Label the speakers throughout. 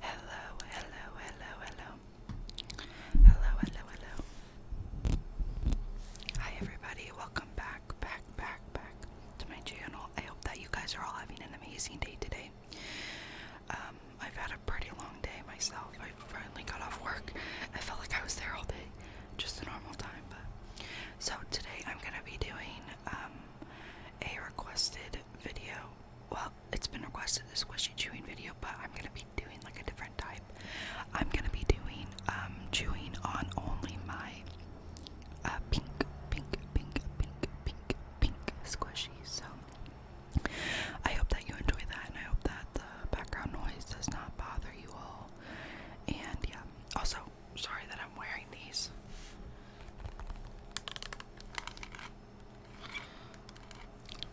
Speaker 1: Hello, hello, hello, hello. Hello, hello, hello. Hi everybody, welcome back, back, back, back to my channel. I hope that you guys are all having an amazing day today. Um, I've had a pretty long day myself. I finally got off work. I felt like I was there all day. Just a normal time, but so today I'm gonna be doing um, a requested video well, it's been requested this squishy chewing video, but I'm gonna be doing like a different type. I'm gonna be doing um, chewing on only my uh, pink, pink, pink, pink, pink, pink squishy. So I hope that you enjoy that, and I hope that the background noise does not bother you all. And yeah, also sorry that I'm wearing these.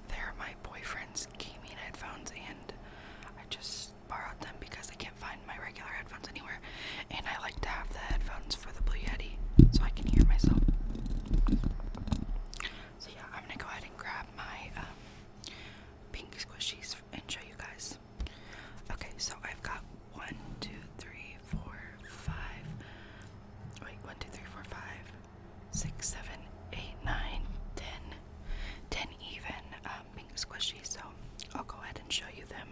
Speaker 1: They're my boyfriend's gaming headphones, and I just borrowed them because I can't find my regular headphones anywhere. And I like to have the headphones for the Blue Yeti so I can hear myself. So, yeah, I'm gonna go ahead and grab my um, pink squishies and show you guys. Okay, so I've got one, two, three, four, five. Wait, one, two, three, four, five, six, seven, eight, nine, ten. Ten even um, pink squishy. So I'll go ahead and show you them.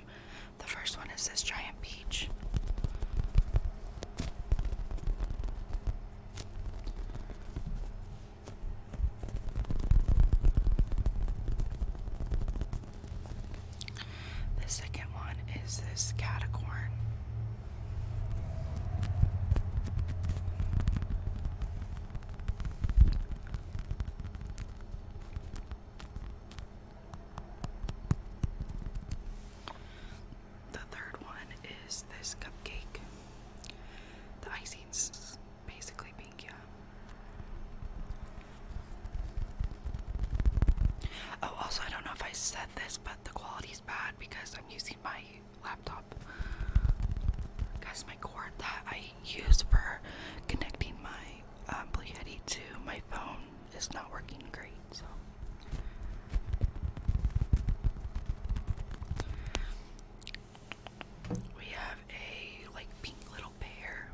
Speaker 1: The first one is this giant peach. The second one is this catacorn. The third one is this cupcake. The icing's basically pink, Oh, also, I don't know if I said this, but the quality's bad because I'm using my laptop. Because my cord that I use for connecting my um, Blue to my phone is not working great, so. We have a like pink little bear.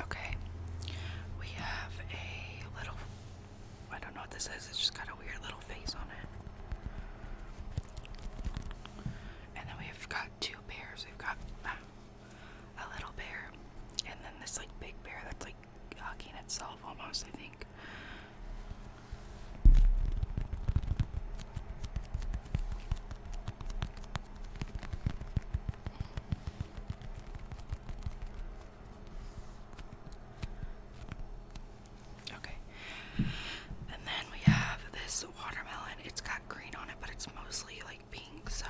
Speaker 1: Okay, we have a little, I don't know what this is, it's just got a weird little face on it. And then we've got two pairs. We've got, ah, a little bear, and then this like big bear that's like hugging itself almost, I think. Okay, and then we have this watermelon. It's got green on it, but it's mostly like like pink, so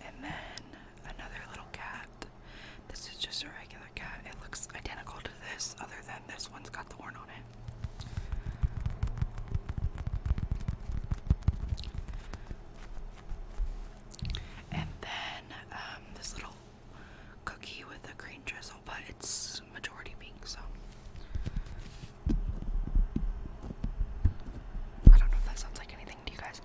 Speaker 1: and then another little cat. This is just a regular cat. It looks identical to this, other than this one's got the horn on it. And then um, this little cookie with a green drizzle, but it's majority pink, so I don't know if that sounds like anything to you guys.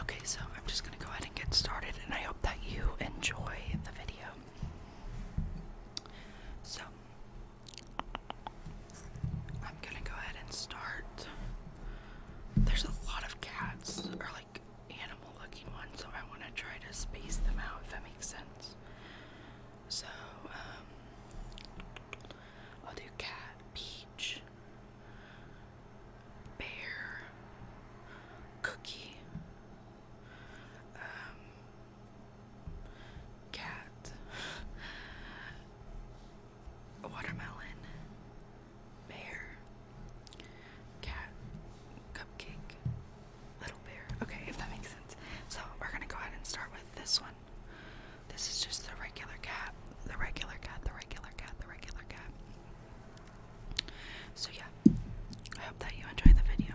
Speaker 1: Okay, so I'm just gonna go ahead and get started, and I hope that you enjoy the video. So I'm gonna go ahead and start. There's a lot of cats, animal looking ones, so I want to try to space them out if that makes sense. So, um, I'll do cat, peach, bear, cookie, um, cat, watermelon, bear, cat, cupcake, little bear. Okay, if that makes sense. So we're gonna go ahead and start with this one. This is just the regular cat, the regular cat, the regular cat, the regular cat. So yeah, I hope that you enjoyed the video.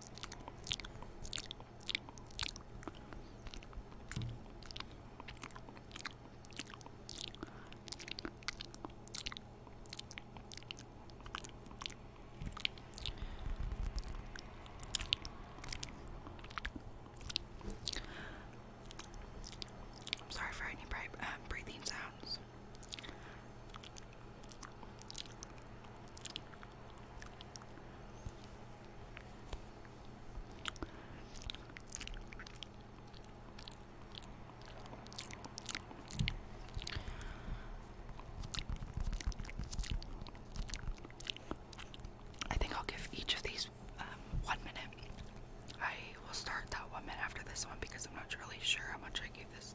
Speaker 1: I'm sorry for any uh, breathing sounds. I think I'll give each of these um, one minute. I will start that one minute after this one because I'm not really sure how much I gave this.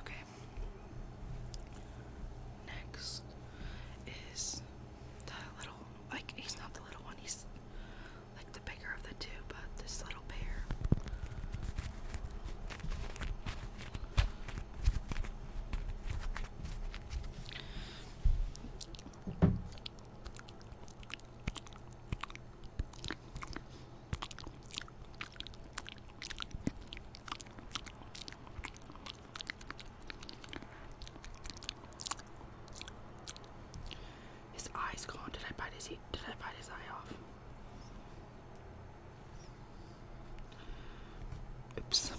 Speaker 1: Okay. Next is the little, like, he's not the little one, he's like the bigger of the two, but this little bear. His eye's gone. Did I bite his? Did I bite his eye off? Oops.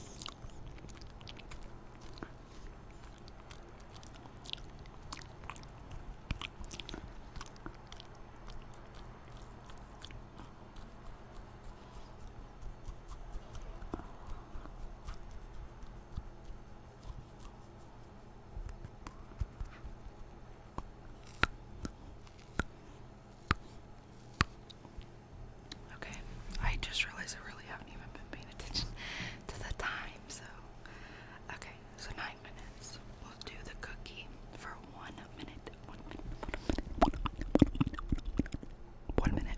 Speaker 1: Okay, I just realized I really haven't even been paying attention to the time, so okay. So nine minutes. We'll do the cookie for one minute. One minute. One minute.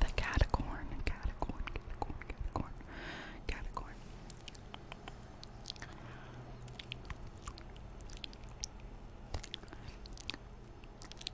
Speaker 1: The catacorn, catacorn, catacorn, catacorn, catacorn.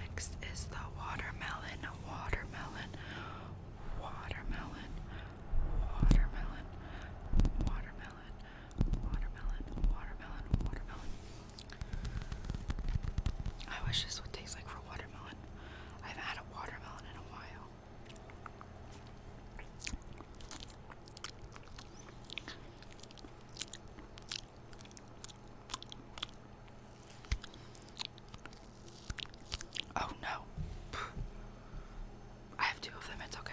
Speaker 1: Next is the watermelon, watermelon, watermelon, watermelon, watermelon, watermelon, watermelon, watermelon. I wish this would taste like for watermelon. I have had a watermelon in a while. Oh no. I have two of them, it's okay.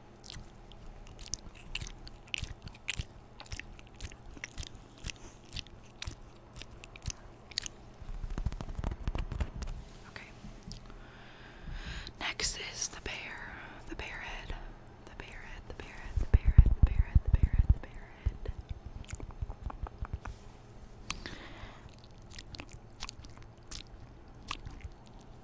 Speaker 1: Okay. Next is the bear, the bear head, the bear head, the bear head, the bear head, the bear head, the bear head, the bear head.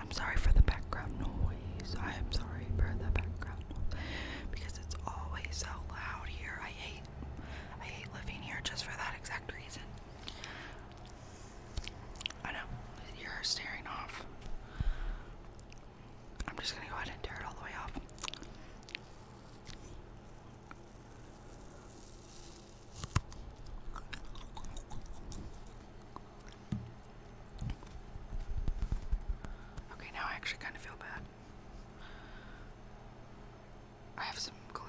Speaker 1: I'm sorry for the background noise. I am sorry for the background noise because it's always so loud here. I hate I hate living here just for that exact reason. I know, you're staring off. I'm just gonna go ahead and tear it all the way off. Okay, now I actually kind of feel bad. I have some glue.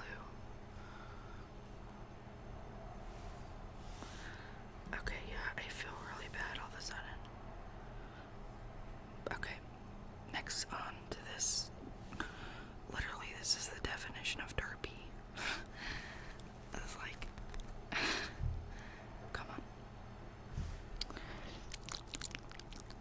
Speaker 1: Okay, yeah, I feel really bad all of a sudden. Okay, next on to this. Literally, this is the definition of derpy. it's like, come on.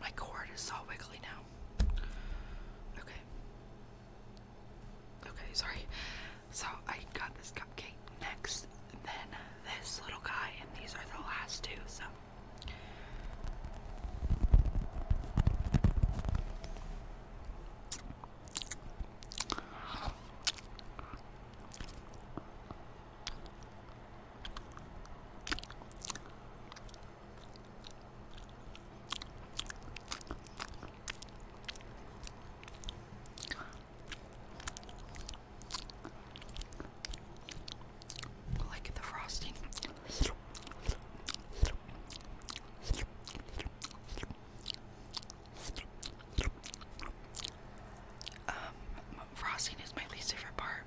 Speaker 1: My cord is all wiggly now. Okay. Okay, sorry. So I got this cupcake next is then this little guy, and these are the last two, so like the frosting. Um, frosting is my least favorite part,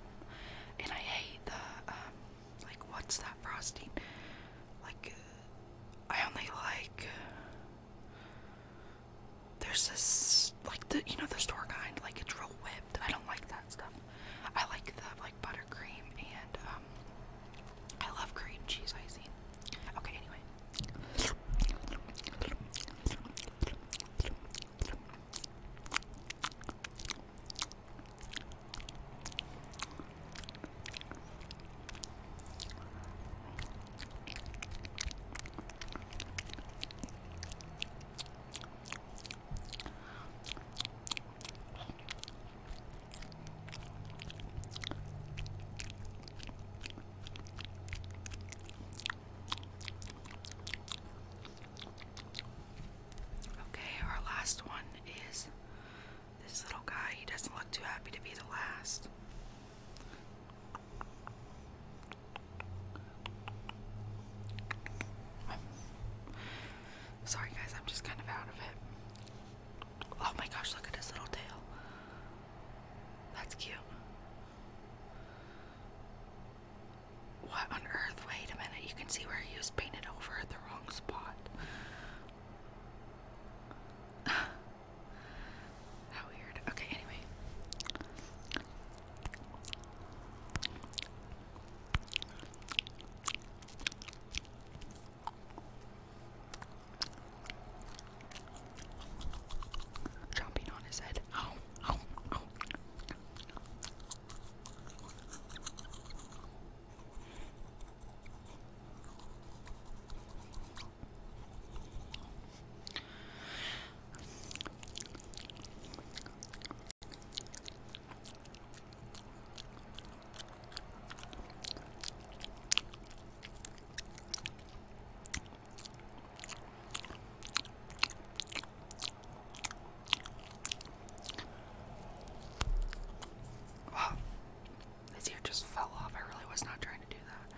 Speaker 1: and I hate the um, like what's that frosting? Like, I only like. There's this like the you know the store kind like it's real whipped. I don't like that stuff. I like the like buttercream and um I love cream cheese icing. Okay, anyway. Okay, our last one is this little guy. He doesn't look too happy to be the last. Sorry, guys, I'm just kind of out of it. Oh my gosh, look at his little tail. That's cute. What on earth? Wait a minute, you can see where he was painted over at the wrong spot. How weird. Okay, anyway. Chomping on his head. oh. Wow, this ear just fell off. I really was not trying to do that.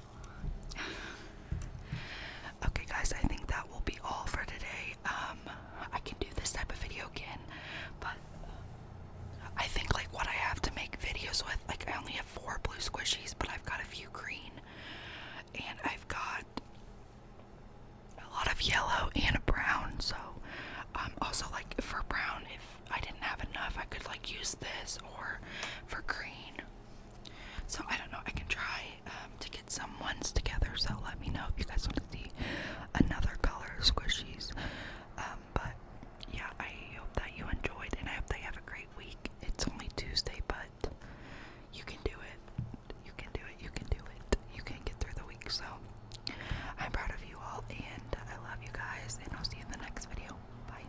Speaker 1: okay, guys, I think that will be all for today. Um, I can do this type of video again, but uh, I think like what I have to make videos with, like I only have four blue squishies, but I've got a few green, and I've got a lot of yellow and a brown. So, um, also like for brown, if I didn't have enough, I could like use this, or for green, so I don't know. I can try um, to get some ones together. So let me know if you guys want to see another color squishies. Um, but yeah, I hope that you enjoyed, and I hope that you have a great week. It's only Tuesday, but you can do it. You can do it. You can do it. You can get through the week. So I'm proud of you all, and I love you guys. And I'll see you in the next video. Bye.